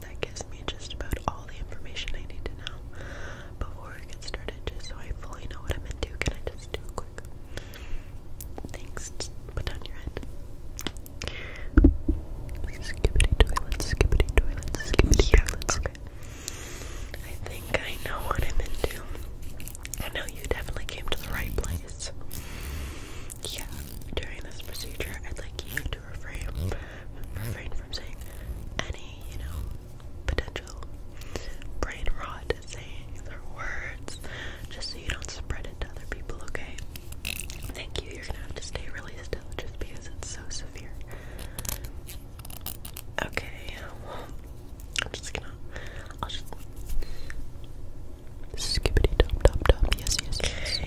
that gives me just about all the information I need to know. Before I get started, just so I fully know what I'm into, can I just do a quick thanks? put down your head. Skippity toilet, skippity toilet, skippity toilet. I think I know what I'm into. I know you definitely came to the right place. Yeah, during this procedure, I'd like you to refrain refrain from saying any, you know, potential brain rot sayings words just so you don't spread it to other people, okay? Thank you. You're gonna have to stay really still just because it's so severe. Okay, um, I'm just gonna I'll just Skippity top top top yes. yes. Okay.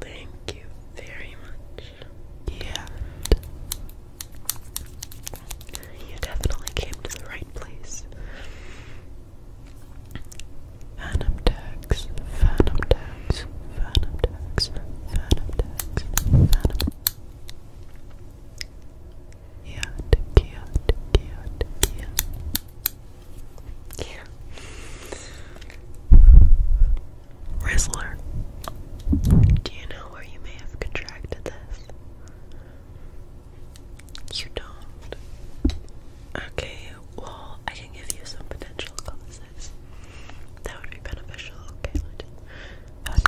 Thank you very much. Yeah. You definitely came to the right place. Phantom tags, phantom tags, phantom tags, phantom tags, phantom. Yeah, Kia, Kia, Kia. Yeah. Rizzler, do you know where you may have contracted this? You don't. Okay, well, I can give you some potential causes. That would be beneficial, okay? Okay,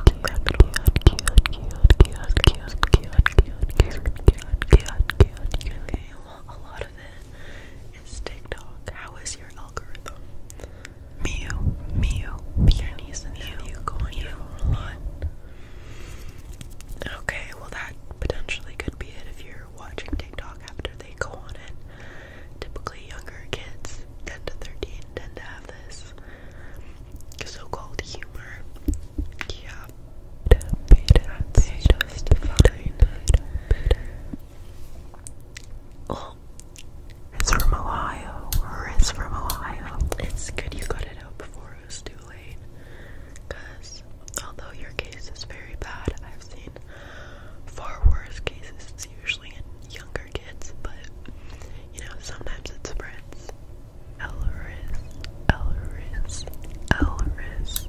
a lot of it is TikTok. How is your algorithm? Mew, mew, peonies and mew going mew, a lot. Okay, well that potentially could be it if you're watching TikTok after they go on it. Typically younger kids, 10 to 13, tend to have this so-called humor. Yeah, it's from Ohio. it's from Ohio. It's good you got it out before it was too late. Because although your case is very bad, I've seen far worse cases. It's usually in younger kids, but you know, sometimes it spreads. Elris, Elris, Elris.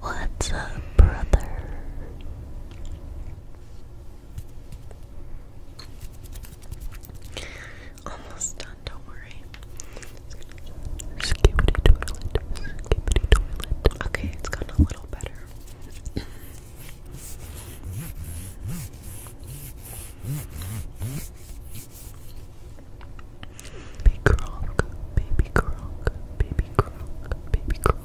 What's up, brother? Almost done, don't worry. Skibbity toilet, skibbity toilet. Okay, it's gotten a little better. Baby Gronk, baby Gronk, baby Gronk, baby Gronk.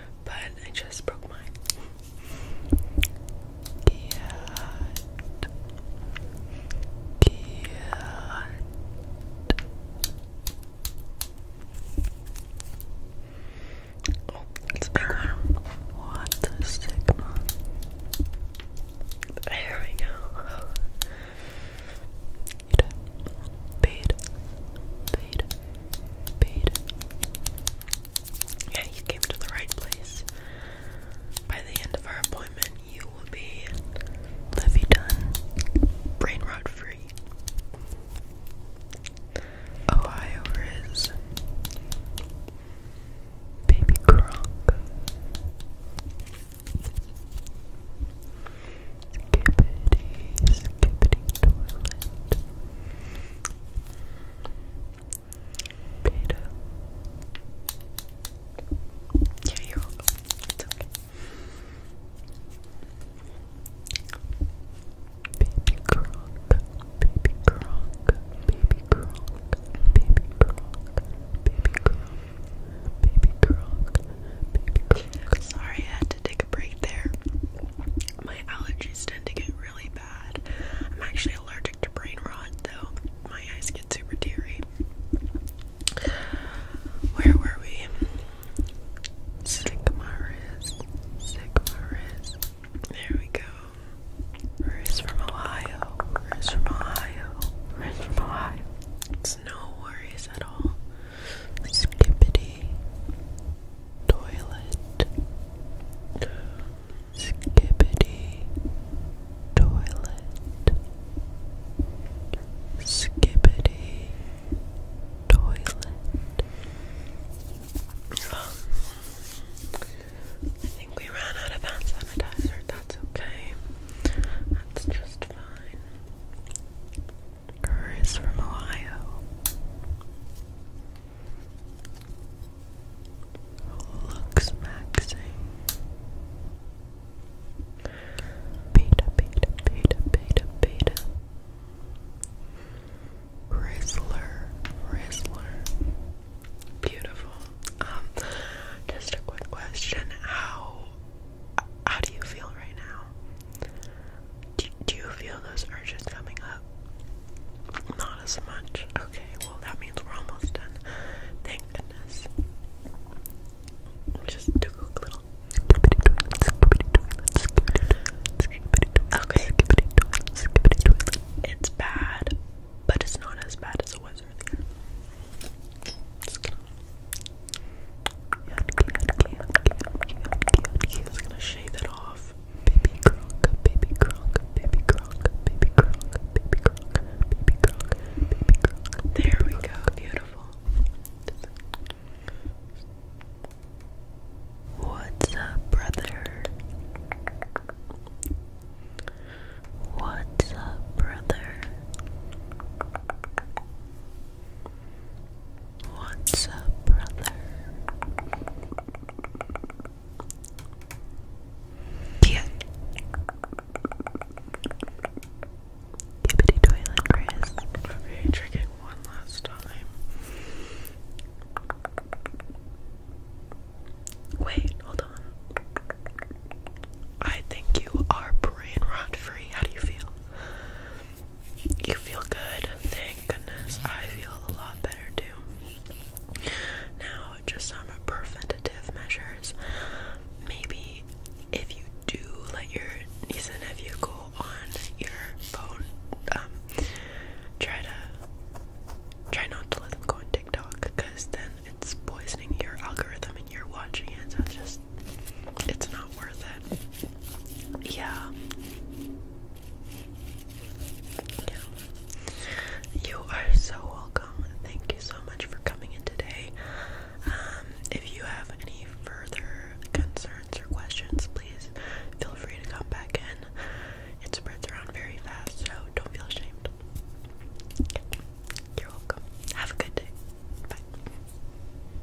but I just broke mine. Cat. Cat. Oh, it's bigger. What a stigma. There we go. You Paid. Paid. Paid. Yeah, you came to the right place. By the end of our appointment, you will be Levy done, brain rot free. Ohio is baby Gronk. Skippity, skippity toilet. Baby Gronk, baby Gronk, baby Gronk, baby Gronk, baby Gronk, baby Gronk, baby Gronk. Sorry, I had to take a break there. My allergies tend to get really I'm actually allergic to brain rot, though. My eyes get super teary. Where were we? Sigmaris. Sigmaris. There we go. Riz from Ohio. Riz from Ohio. Riz from Ohio. It's no worries at all. Skippity toilet skibbity toilet skibbity toilet I think we ran out of hand sanitizer, that's okay that's just fine Kerr from Ohio. Looks maxing. Beta, beta, beta, beta, beta. Rizzler, Rizzler. Beautiful. Um, just a quick question. How how do you feel right now? Do, you feel those urges coming up? Not as much. Okay, well, that means we're almost done. Thank goodness. Just a little. Okay. It's bad, but it's not as bad as it was earlier. It's gonna shave it off. Baby croc, baby croc, baby croc, baby croc, baby croc, baby croc, baby croc. There we go, beautiful. What's up, brother? What's up, brother? What's up, brother? Yeah. Gibbity toilet, Chris. Okay, one last time. Wait, hold on. I think you are brain rot free. How do you feel? you feel good. Thank goodness. I feel a lot better too. Now, just some preventative measures. Maybe if you do let your niece and nephew go on your phone, um, try to try not to let them go on TikTok because then it's poisoning your algorithm and you're watching it. So just it's not worth it. Yeah. Yeah. You are so welcome. Thank you so much for coming in today. Um, if you have any further concerns or questions, please feel free to come back in. It spreads around very fast, so don't feel ashamed. You're welcome. Have a good day. Bye.